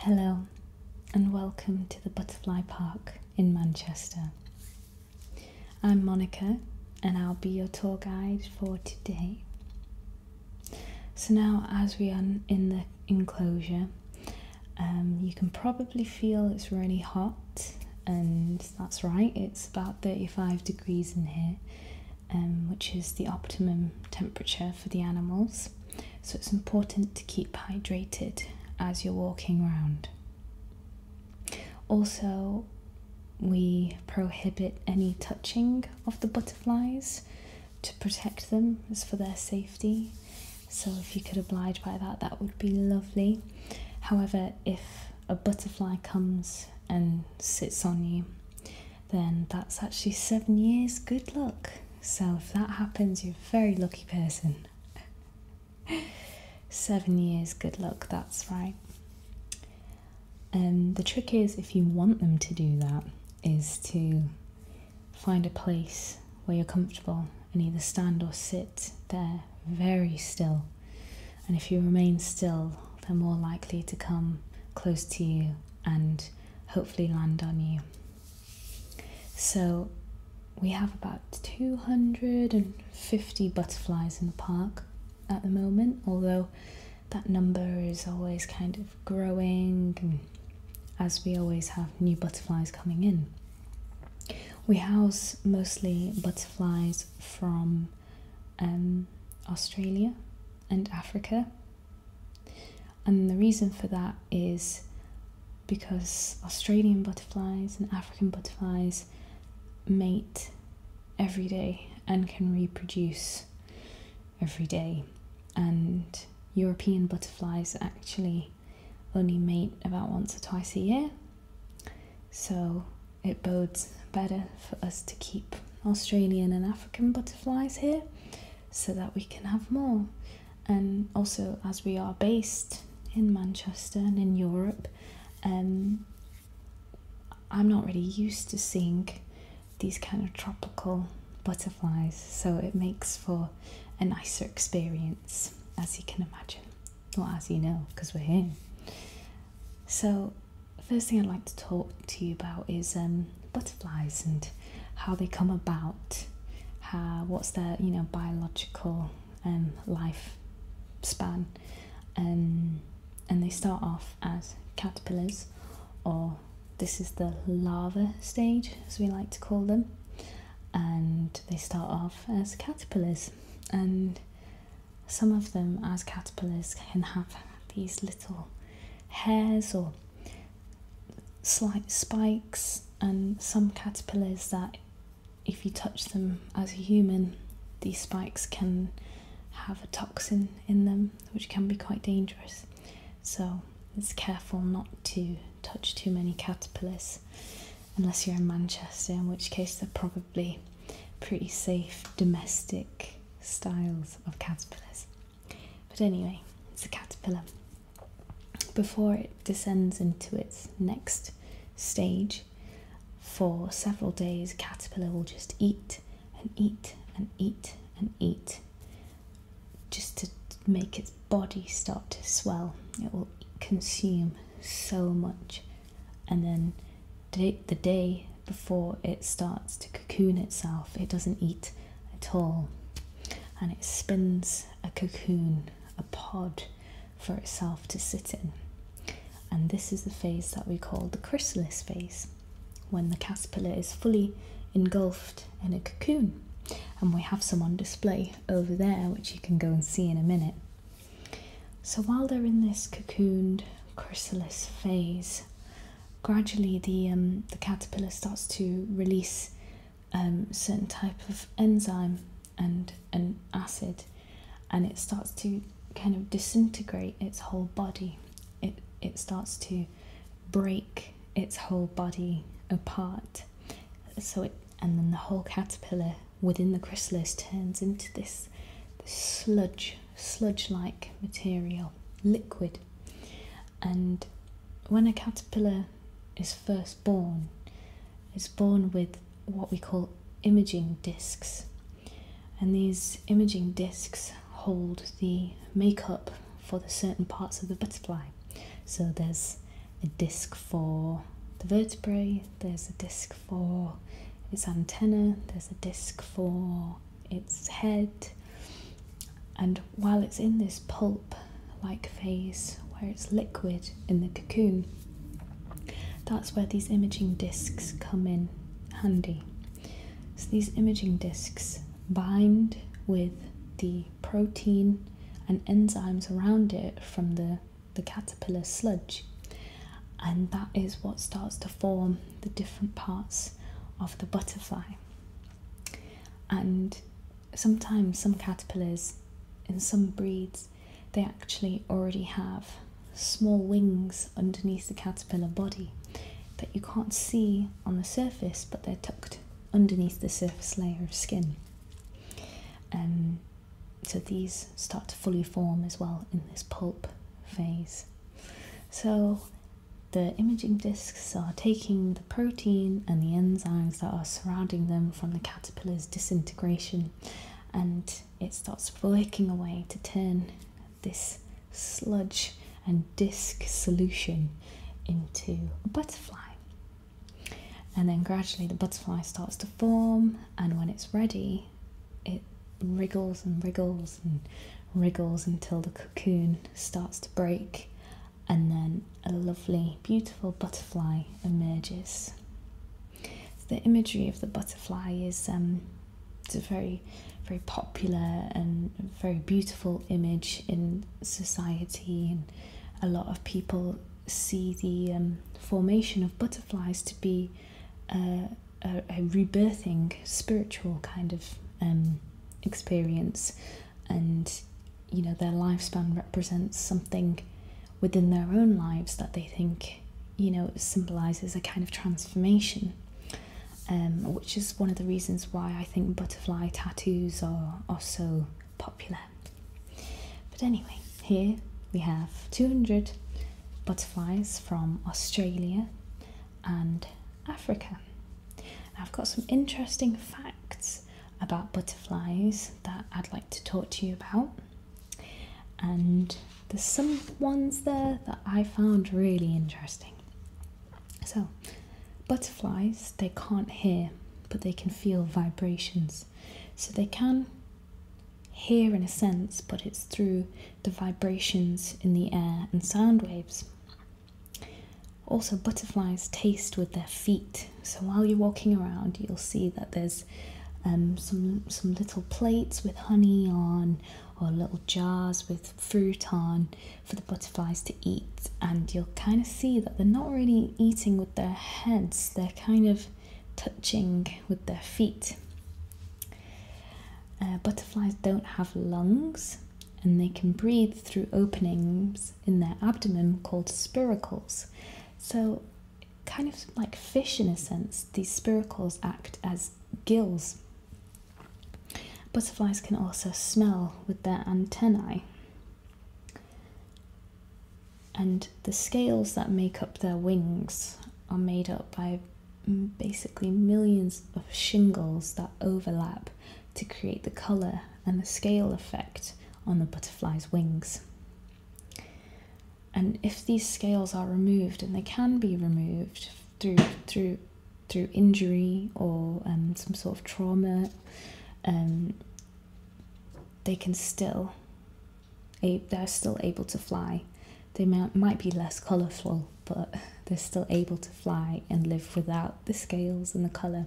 Hello, and welcome to the Butterfly Park in Manchester. I'm Monica, and I'll be your tour guide for today. So, now as we are in the enclosure, um, you can probably feel it's really hot, and that's right, it's about 35 degrees in here, um, which is the optimum temperature for the animals so it's important to keep hydrated as you're walking around. Also, we prohibit any touching of the butterflies to protect them, it's for their safety. So, if you could oblige by that, that would be lovely. However, if a butterfly comes and sits on you, then that's actually seven years good luck. So if that happens, you're a very lucky person. seven years good luck, that's right. And um, the trick is, if you want them to do that, is to find a place where you're comfortable and either stand or sit there very still. And if you remain still, they're more likely to come close to you and hopefully land on you. So we have about 250 butterflies in the park at the moment, although that number is always kind of growing as we always have new butterflies coming in. We house mostly butterflies from um, Australia and Africa and the reason for that is because Australian butterflies and African butterflies mate every day and can reproduce every day. And European butterflies actually only mate about once or twice a year. So it bodes better for us to keep Australian and African butterflies here so that we can have more. And also, as we are based in Manchester and in Europe, um, I'm not really used to seeing these kind of tropical butterflies, so it makes for a nicer experience, as you can imagine, or as you know, because we're here. So, the first thing I'd like to talk to you about is um, butterflies and how they come about, how what's their you know biological um, life span, um, and they start off as caterpillars, or this is the larva stage as we like to call them, and they start off as caterpillars, and some of them as caterpillars can have these little hairs or slight spikes, and some caterpillars that, if you touch them as a human, these spikes can have a toxin in them which can be quite dangerous. So it's careful not to touch too many caterpillars unless you're in Manchester, in which case they're probably pretty safe domestic styles of caterpillars. But anyway, it's a caterpillar. Before it descends into its next stage, for several days, caterpillar will just eat and eat and eat and eat just to make its body start to swell. It will consume so much and then day, the day before it starts to cocoon itself, it doesn't eat at all and it spins a cocoon, a pod for itself to sit in. And this is the phase that we call the chrysalis phase, when the caterpillar is fully engulfed in a cocoon. And we have some on display over there, which you can go and see in a minute. So while they're in this cocooned chrysalis phase, gradually the um, the caterpillar starts to release um, certain type of enzyme and an acid, and it starts to kind of disintegrate its whole body. It it starts to break its whole body apart. So it and then the whole caterpillar within the chrysalis turns into this, this sludge sludge like material, liquid. And when a caterpillar is first born, it's born with what we call imaging discs. And these imaging discs hold the makeup for the certain parts of the butterfly. So there's a disc for the vertebrae, there's a disc for its antenna, there's a disc for its head. And while it's in this pulp like phase where it's liquid in the cocoon, that's where these imaging discs come in handy. So these imaging discs bind with the protein and enzymes around it from the, the caterpillar sludge and that is what starts to form the different parts of the butterfly. And sometimes some caterpillars in some breeds they actually already have small wings underneath the caterpillar body that you can't see on the surface but they're tucked underneath the surface layer of skin. Um, so these start to fully form as well in this pulp phase. So, the imaging discs are taking the protein and the enzymes that are surrounding them from the caterpillar's disintegration and it starts working away to turn this sludge and disc solution into a butterfly. And then gradually the butterfly starts to form, and when it's ready, it wriggles and wriggles and wriggles until the cocoon starts to break, and then a lovely, beautiful butterfly emerges. the imagery of the butterfly is um, a very, very popular and very beautiful image in society, and a lot of people see the um, formation of butterflies to be. Uh, a, rebirthing spiritual kind of um, experience, and you know, their lifespan represents something within their own lives that they think you know symbolizes a kind of transformation. Um, which is one of the reasons why I think butterfly tattoos are, are so popular. But anyway, here we have 200 butterflies from Australia and Africa. I've got some interesting facts about butterflies that I'd like to talk to you about. And there's some ones there that I found really interesting. So, butterflies, they can't hear, but they can feel vibrations. So they can here, in a sense, but it's through the vibrations in the air and sound waves. Also, butterflies taste with their feet, so while you're walking around, you'll see that there's um, some some little plates with honey on, or little jars with fruit on for the butterflies to eat, and you'll kind of see that they're not really eating with their heads. They're kind of touching with their feet. Uh, butterflies don't have lungs and they can breathe through openings in their abdomen called spiracles. So, kind of like fish in a sense, these spiracles act as gills. Butterflies can also smell with their antennae and the scales that make up their wings are made up by mm, basically millions of shingles that overlap to create the colour and the scale effect on the butterfly's wings. And if these scales are removed, and they can be removed through through through injury or um, some sort of trauma, um, they can still they're still able to fly. They might be less colourful, but they're still able to fly and live without the scales and the colour.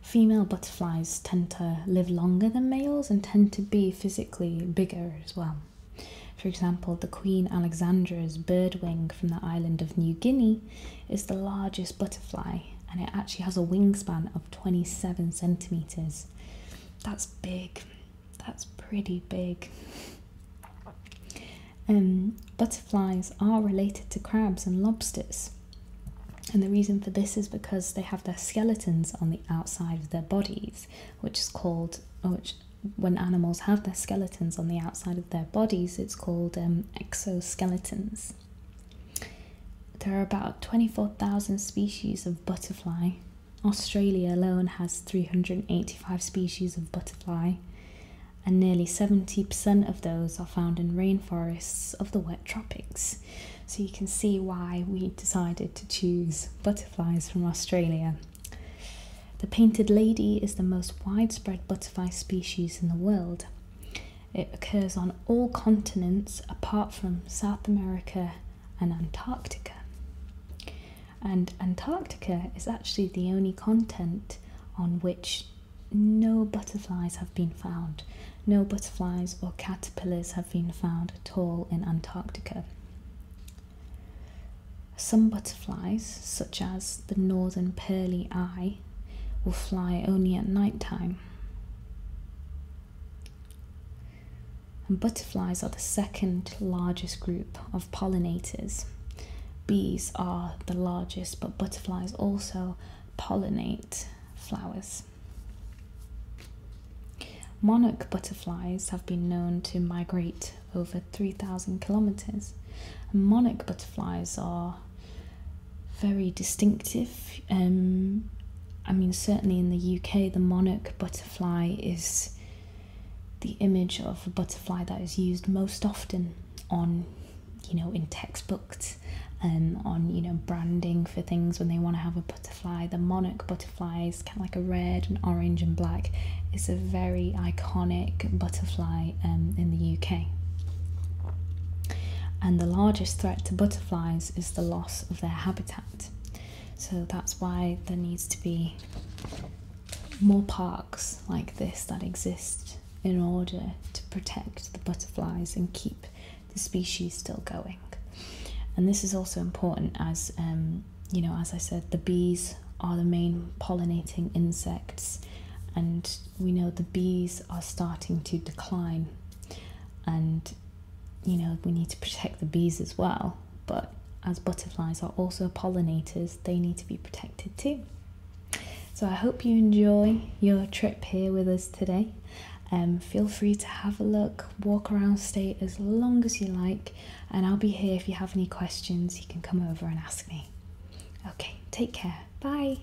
Female butterflies tend to live longer than males and tend to be physically bigger as well. For example, the Queen Alexandra's birdwing from the island of New Guinea is the largest butterfly and it actually has a wingspan of 27 centimetres that's big. That's pretty big. Um, butterflies are related to crabs and lobsters, and the reason for this is because they have their skeletons on the outside of their bodies, which is called, which when animals have their skeletons on the outside of their bodies, it's called um, exoskeletons. There are about 24,000 species of butterfly. Australia alone has 385 species of butterfly, and nearly 70% of those are found in rainforests of the wet tropics. So you can see why we decided to choose butterflies from Australia. The painted lady is the most widespread butterfly species in the world. It occurs on all continents apart from South America and Antarctica. And Antarctica is actually the only continent on which no butterflies have been found. No butterflies or caterpillars have been found at all in Antarctica. Some butterflies, such as the northern pearly eye, will fly only at night time. And butterflies are the second largest group of pollinators. Bees are the largest, but butterflies also pollinate flowers. Monarch butterflies have been known to migrate over 3,000 kilometers. Monarch butterflies are very distinctive. Um, I mean, certainly in the UK, the monarch butterfly is the image of a butterfly that is used most often on, you know, in textbooks and um, on, you know, branding for things when they want to have a butterfly. The monarch butterfly is kind of like a red and orange and black. It's a very iconic butterfly um, in the UK. And the largest threat to butterflies Flies is the loss of their habitat. So that's why there needs to be more parks like this that exist in order to protect the butterflies and keep the species still going. And this is also important as, um, you know, as I said, the bees are the main pollinating insects, and we know the bees are starting to decline and you know we need to protect the bees as well but as butterflies are also pollinators they need to be protected too so i hope you enjoy your trip here with us today And um, feel free to have a look walk around stay as long as you like and i'll be here if you have any questions you can come over and ask me okay take care bye